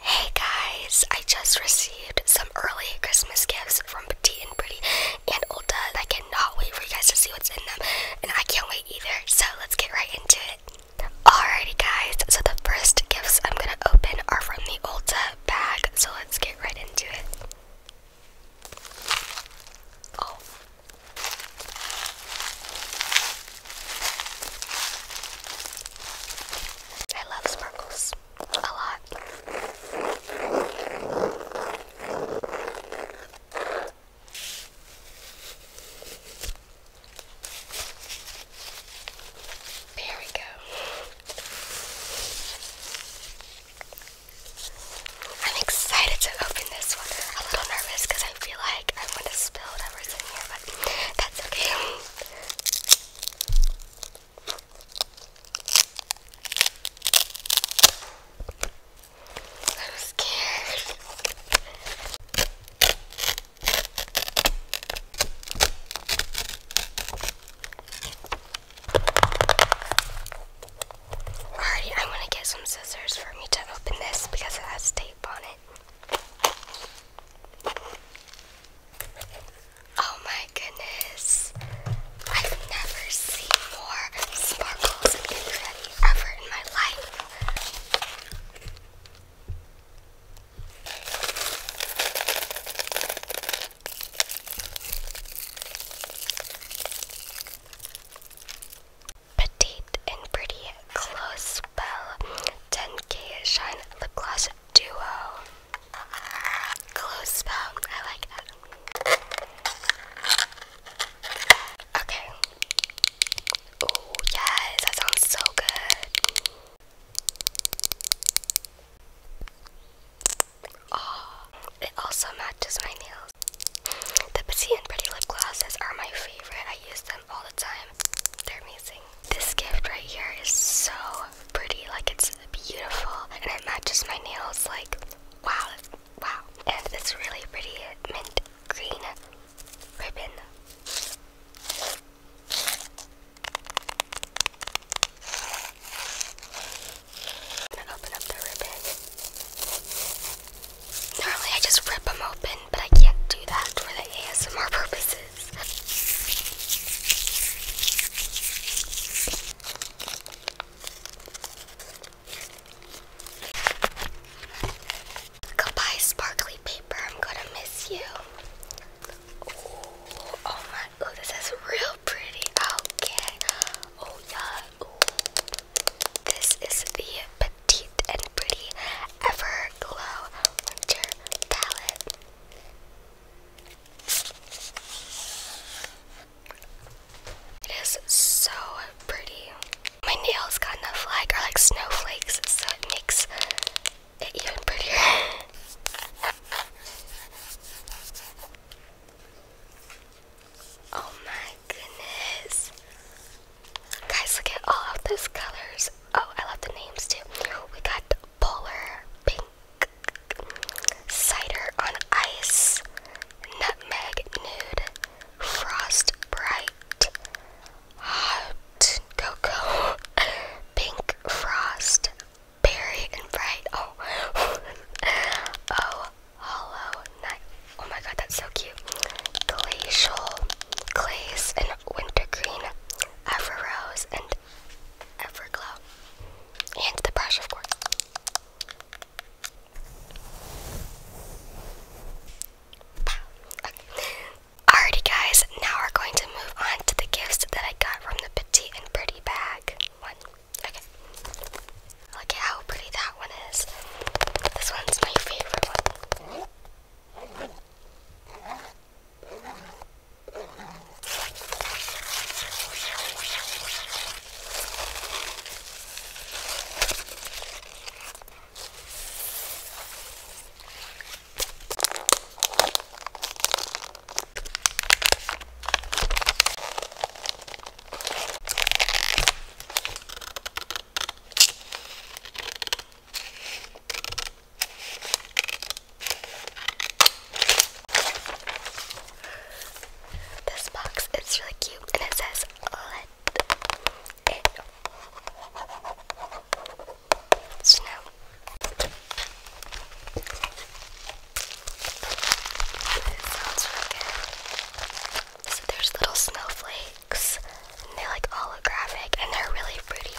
Hey guys, I just received some early Christmas gifts from Petite and Pretty and Ulta. and I cannot wait for you guys to see what's in them, and I can't wait either, so let's get right into it. Alrighty guys, so the first gifts I'm gonna open are from the Ulta bag, so let's get right into it. Oh, I love sparkles a lot. There we go. I'm excited to open this one. A little nervous because I feel like I'm going to spill whatever's in here, but that's okay. I'm scared. Alrighty, i want to get some scissors for me to open this because it has tape on it. Oh my goodness. I've never seen more sparkles and ever in my life. Petite and Pretty Close Spell 10K Shine Lip Gloss Duo. Close Spell, I like that. Okay. Oh, yes, that sounds so good. Oh, it also matches my nails. The Petit and Pretty lip glosses are my favorite. I use them all the time. They're amazing. This gift right here is so pretty. Like it's beautiful and it matches my nails. Like wow, wow. And this really pretty mint green ribbon. I'm gonna open up the ribbon. Normally I just rip them open, but I can't do that for the ASMR purposes. Goodbye, sparkly paper. I'm gonna miss you. oh my, oh, this is real pretty. Oh, yeah. This is the Petite and Pretty Everglow Winter Palette. It is so pretty. My nails got a like are like snowflakes, so it makes it even prettier. Oh my goodness. Guys, look at all of those colors. Oh, I love the names too. We got polar, pink, cider on ice, nutmeg nude, frost bright, hot cocoa, pink frost, berry and bright. Oh, oh Hollow Knight. Oh my god, that's so cute. Glacial, Glaze, and Wintergreen, Everrose, and Everglow. And the brush, of course. Alrighty guys, now we're going to move on to the gifts that I got from the Petite and Pretty bag. One. Okay. Look at how pretty that one is. This one's my favorite one. This box is really cute and it says let it snow. So there's little snowflakes, and they're like holographic, and they're really pretty.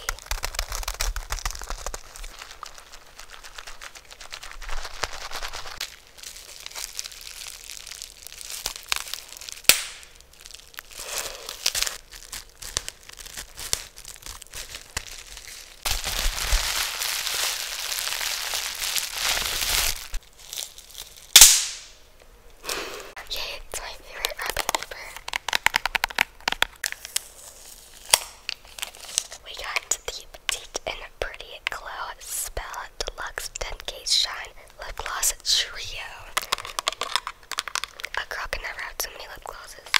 Yay, it's my favorite wrapping paper. We got the Petite and Pretty Glow Spell Deluxe 10K Shine Lip Gloss Trio. A girl can never have too many lip glosses.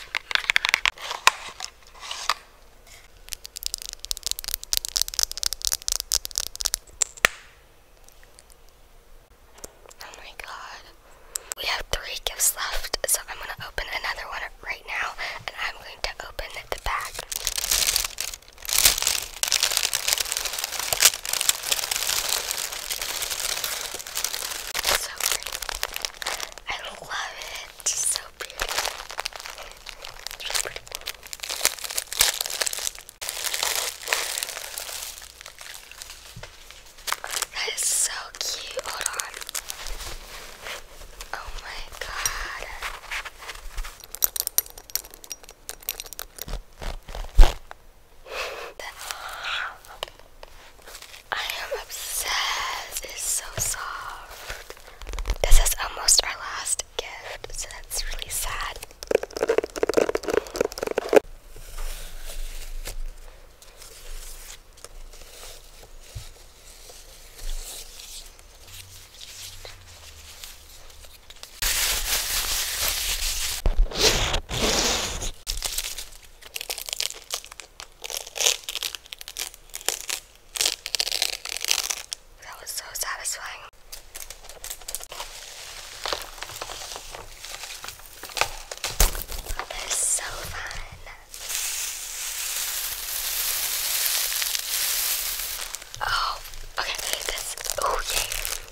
Oh my god. We have three gifts left, so I'm going to open another one right now, and I'm going to open the bag. so pretty. I love it. It's just so pretty. It's really pretty. That is so cute. Hold on. Oh my god. I am obsessed. It's so soft. This is almost our last gift, so that's really sad. That was so satisfying. Oh, so fun. Oh, okay, this, oh yay.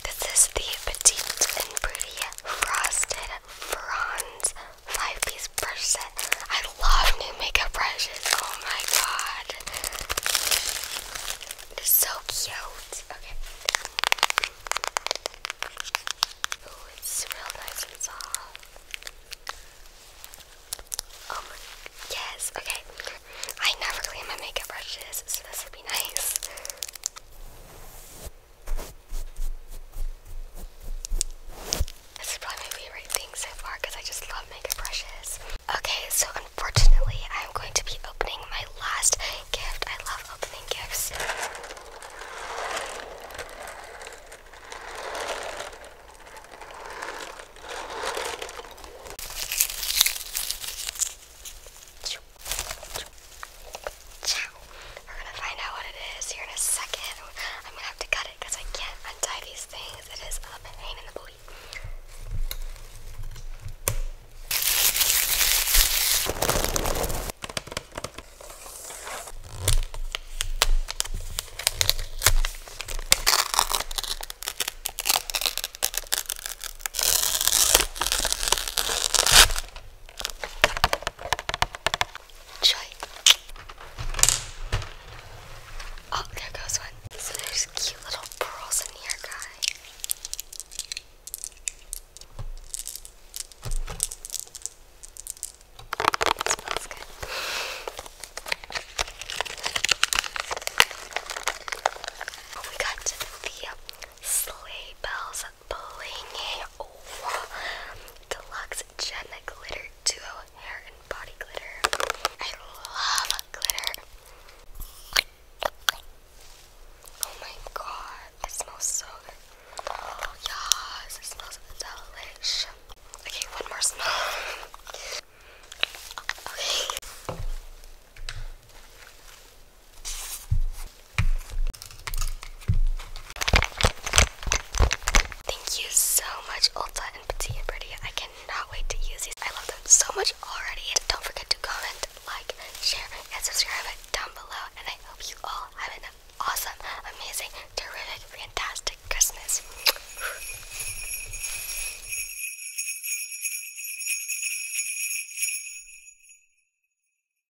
This is the Petite and Pretty Frosted Franz five piece brush set. I love new makeup brushes. Oh my god. They're so cute. Okay. Oh, it's real nice and soft. Oh my yes, okay. I never clean my makeup brushes, so this would be nice. This is probably my favorite thing so far because I just love makeup brushes. Okay, so unfortunately, I'm going to be opening my last gift. I love opening gifts. Ciao. We're gonna find out what it is here in a second. I'm gonna have to cut it because I can't untie these things. It is a pain in the booty. Oh, there goes one. So there's cute little pearls in here, guys. Oh, we got the sleigh bells blingy oh, deluxe Gen Glitter Duo Hair and Body Glitter. I love glitter. Oh my god, it smells so good. Oh it smells delish. Okay, one more smell. Okay. Thank you so much, Ulta and Petite and Pretty. I cannot wait to use these. I love them so much already. don't forget to comment, like, share, and subscribe down below. And I hope you all have an awesome, amazing, terrific, fantastic Christmas.